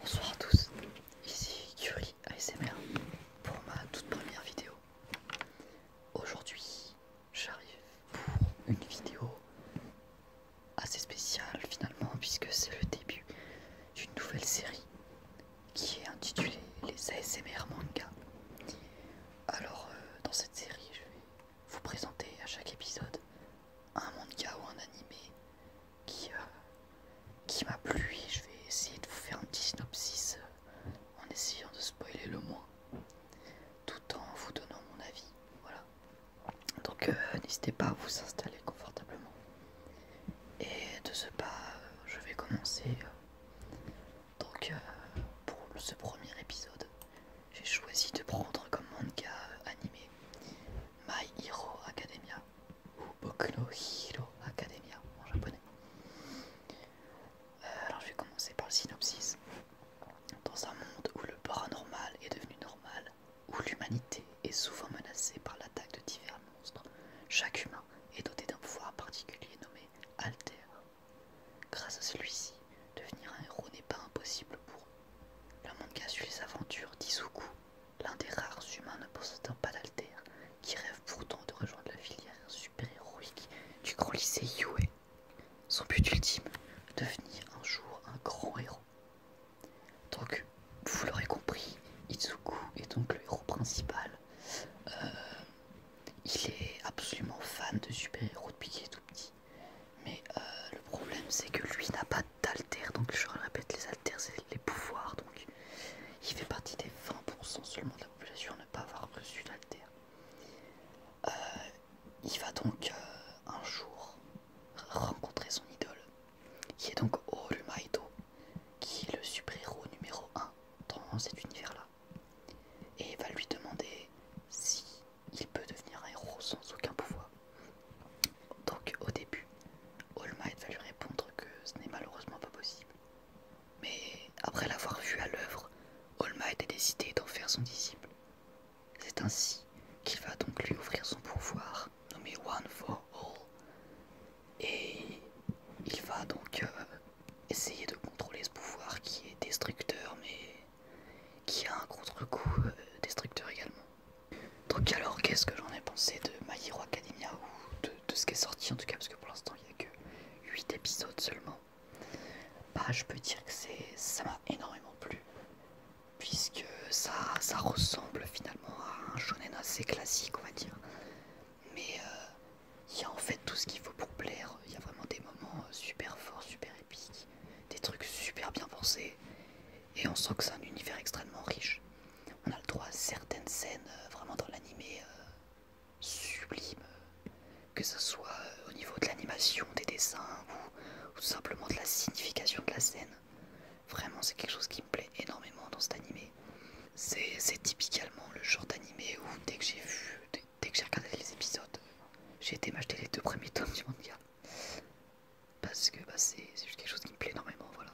Bonsoir à tous, ici Curie ASMR pour ma toute première vidéo. Aujourd'hui, j'arrive pour une vidéo assez spéciale finalement puisque c'est le début d'une nouvelle série qui est intitulée Les ASMR manga. Alors euh, dans cette série, je vais vous présenter à chaque épisode un manga ou un animé qui, euh, qui m'a plu et je vais essayer de vous faire un petit synopsis euh, en essayant de spoiler le moins tout en vous donnant mon avis. Voilà. Donc euh, n'hésitez pas à vous installer confortablement. Et de ce pas, je vais commencer. donc pour ce premier épisode, j'ai choisi de prendre comme manga animé My Hero Academia ou Boku no Academia en japonais. Euh, alors je vais commencer par le synopsis. Dans un monde où le paranormal est devenu normal, où l'humanité est souvent menacée par l'attaque de divers monstres, chaque humain est doté d'un pouvoir particulier nommé Alter. Grâce à celui-ci, devenir un héros n'est pas impossible pour eux. Le manga suit les aventures d'Izuku, l'un des rares humains ne possédant pas d'alter, qui rêve pourtant de rejoindre la filière super-héroïque du grand lycée Yue. Son but ultime, devenir un jour un grand héros. Donc, vous l'aurez compris, Izuku est donc le héros principal. Euh, il est absolument fan de super-héros depuis qu'il est tout petit mais euh, le problème c'est que lui n'a pas d'alter, donc je répète, les alters c'est les pouvoirs, donc il fait partie des 20% seulement de la population à ne pas avoir reçu d'alter. Euh, il va donc euh, un jour rencontrer son idole, qui est donc maito qui est le super-héros numéro 1 dans cet univers-là, et il va lui demander si il peut devenir un héros sans aucun pouvoir. Donc au début, All Might va lui répondre que ce n'est malheureusement pas possible. Mais après l'avoir vu à l'œuvre, All Might a décidé d'en faire son disciple. C'est ainsi qu'il va donc lui offrir son pouvoir, nommé One for All. Et il va donc euh, essayer de contrôler ce pouvoir qui est destructeur mais qui a un contre-coup euh, destructeur également. Donc alors qu'est-ce que j'en ai pensé de My Hero Academia ou de, ce qui est sorti en tout cas parce que pour l'instant il n'y a que 8 épisodes seulement. Bah je peux dire que ça m'a énormément plu puisque ça, ça ressemble finalement à un shonen assez classique on va dire. Mais euh, il y a en fait tout ce qu'il faut pour plaire, il y a vraiment des moments euh, super forts, super des trucs super bien pensés, et on sent que c'est un univers extrêmement riche. On a le droit à certaines scènes euh, vraiment dans l'animé euh, sublime, que ce soit euh, au niveau de l'animation, des dessins ou, simplement de la signification de la scène. Vraiment, c'est quelque chose qui me plaît énormément dans cet animé. C'est typiquement le genre d'animé où dès que j'ai vu, des dès que j'ai regardé les épisodes, j'ai été m'acheter les deux premiers tomes du manga. Parce que bah, c'est juste quelque chose qui me plaît énormément, voilà.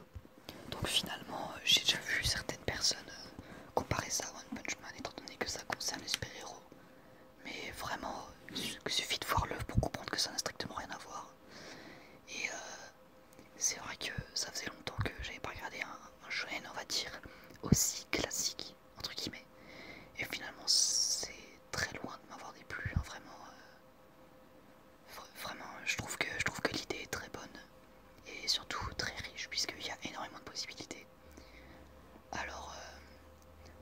Donc finalement, euh, j'ai déjà vu certaines personnes euh, comparer ça à One Punch Man, étant donné que ça concerne les super-héros. Mais vraiment, euh, il suffit de voir l'œuvre pour comprendre que ça n'a strictement rien à voir. Et c'est vrai que ça faisait longtemps que j'avais pas regardé un, un shonen, on va dire, aussi classique entre guillemets. Et finalement, c'est très loin de m'avoir déplu, hein, vraiment. Euh, vraiment, je trouve que, je trouve que l'idée est très bonne et surtout très riche, puisqu'il y a énormément de possibilités. Alors,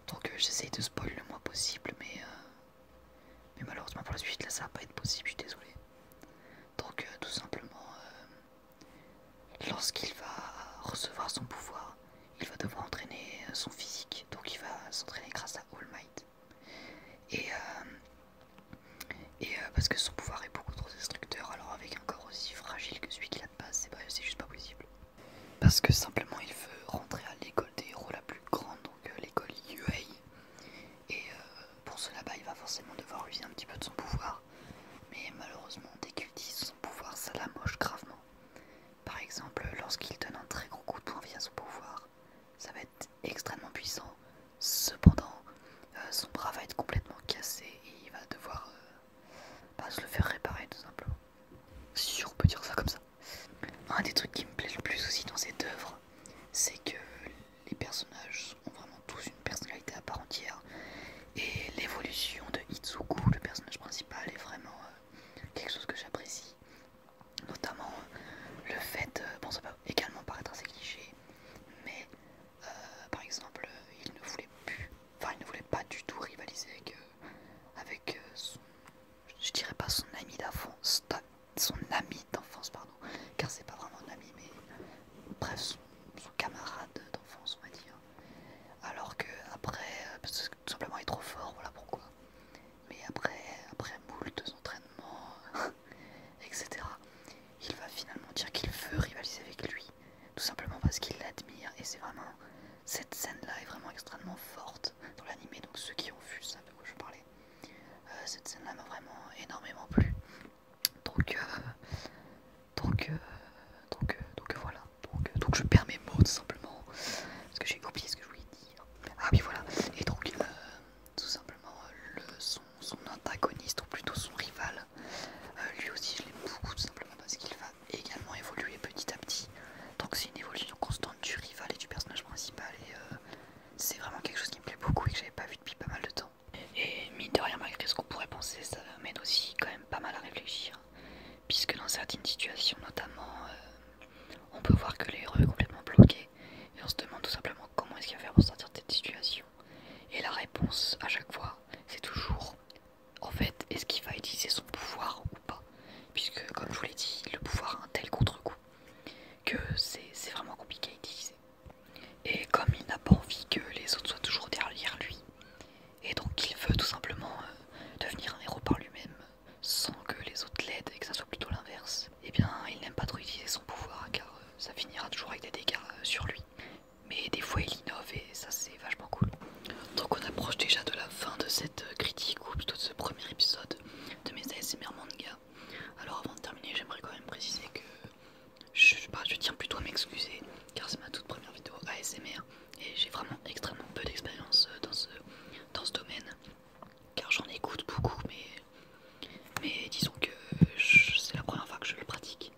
donc euh, j'essaye de spoil le moins possible, mais, euh, mais malheureusement pour la suite, là ça va pas être possible, je suis désolé. Donc, tout simplement, Lorsqu'il va recevoir son pouvoir, il va devoir entraîner euh, son physique, donc il va s'entraîner grâce à All Might. Et, euh, euh, parce que son pouvoir est beaucoup trop destructeur, alors avec un corps aussi fragile que celui qu'il a de base, c'est juste pas possible. Parce que simplement il veut rentrer à l'école des héros la plus grande, donc l'école UA. Et pour cela, bas il va forcément devoir user un petit peu de son pouvoir. Mais malheureusement, dès qu'il pouvoir, ça la moche gravement. Par exemple, lorsqu'il donne un très gros coup de poing via son pouvoir, ça va être extrêmement puissant. Cependant, euh, son bras va être complètement cassé et il va devoir euh, se le faire réparer tout simplement. Si on peut dire ça comme ça. Un des trucs qui me plaît le plus aussi dans cette œuvre, c'est que les personnages ont vraiment tous une personnalité à part entière et l'évolution de Itsuku, le personnage principal, est vraiment euh, quelque chose que j'apprécie. Notamment euh, le fait, euh, bon ça peut également paraître assez cliché, mais par exemple il ne voulait plus, enfin il ne voulait pas du tout rivaliser avec, avec son, je dirais pas son ami d'enfance, son ami d'enfance pardon, car c'est pas vraiment un ami, mais bref son camarade d'enfance on va dire. Alors que après, euh, parce que tout simplement il est trop fort, voilà pourquoi. Mais après, après moult entraînements, etc., il va finalement dire qu'il veut rivaliser avec lui, tout simplement parce qu'il l'admire. Et c'est vraiment cette scène-là est vraiment extrêmement forte dans l'animé. Donc ceux qui ont vu, ça, un quoi je parlais. Euh, cette scène-là m'a vraiment énormément plu. Donc, euh, donc, euh, donc, euh, voilà. Donc, donc je perds mes mots tout simplement. Parce que j'ai oublié ce que je voulais dire. Ah oui voilà. Et donc tout simplement le, son, antagoniste, ou plutôt son rival, lui aussi je l'aime beaucoup tout simplement parce qu'il va également évoluer petit à petit. Donc c'est une évolution constante du rival et du personnage principal. Et c'est vraiment quelque chose qui me plaît beaucoup et que j'avais pas vu depuis pas mal de temps. Et mine de rien, malgré ce qu'on pourrait penser, ça m'aide aussi quand même pas mal à réfléchir. Puisque dans certaines situations, notamment, euh, on peut voir que les est complètement bloqué. Et on se demande tout simplement comment est-ce qu'il va faire pour sortir de cette situation. Et la réponse à chaque fois, c'est toujours en fait, est-ce qu'il va utiliser son pouvoir ou pas Puisque, comme je vous l'ai dit, le pouvoir a un tel contre-coup que c'est vraiment compliqué à utiliser. Et comme il n'a pas envie que les autres soient toujours derrière lui, et donc il veut tout simplement euh, devenir un héros par lui-même, sans que les autres l'aident et que ça soit plutôt l'inverse, et eh bien il n'aime pas trop utiliser son pouvoir car euh, ça finira toujours avec des dégâts euh, sur lui. Mais des fois il innove et ça c'est vachement cool. Donc on approche déjà de la fin de cette critique ou plutôt de ce premier épisode de mes ASMR manga. Alors avant de terminer j'aimerais quand même préciser que je, tiens plutôt à m'excuser car c'est ma toute première vidéo ASMR et j'ai vraiment extrêmement peu d'expérience euh, dans ce, domaine car j'en écoute beaucoup mais, mais disons que c'est la première fois que je le pratique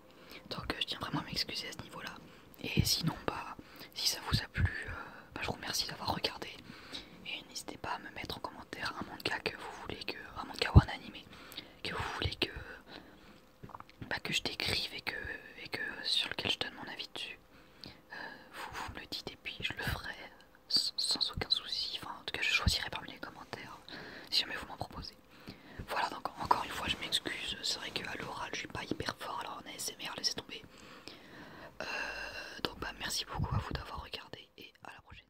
donc euh, je tiens vraiment à m'excuser à ce niveau là et sinon bah si ça vous a plu euh, bah, je vous remercie d'avoir regardé et n'hésitez pas à me mettre en commentaire un cas que vous voulez que un manga ou un animé que vous voulez que, bah, que je décrive et que, et que sur lequel je donne mon avis dessus, euh, vous, me le dites et puis je le ferai sans, aucun souci. Enfin, en tout cas, je choisirai parmi les commentaires si jamais vous m'en proposez. Voilà, donc encore une fois, je m'excuse. C'est vrai qu'à l'oral, je suis pas hyper fort, alors en ASMR, laisser tomber. Euh, donc, bah, merci beaucoup à vous d'avoir regardé et à la prochaine.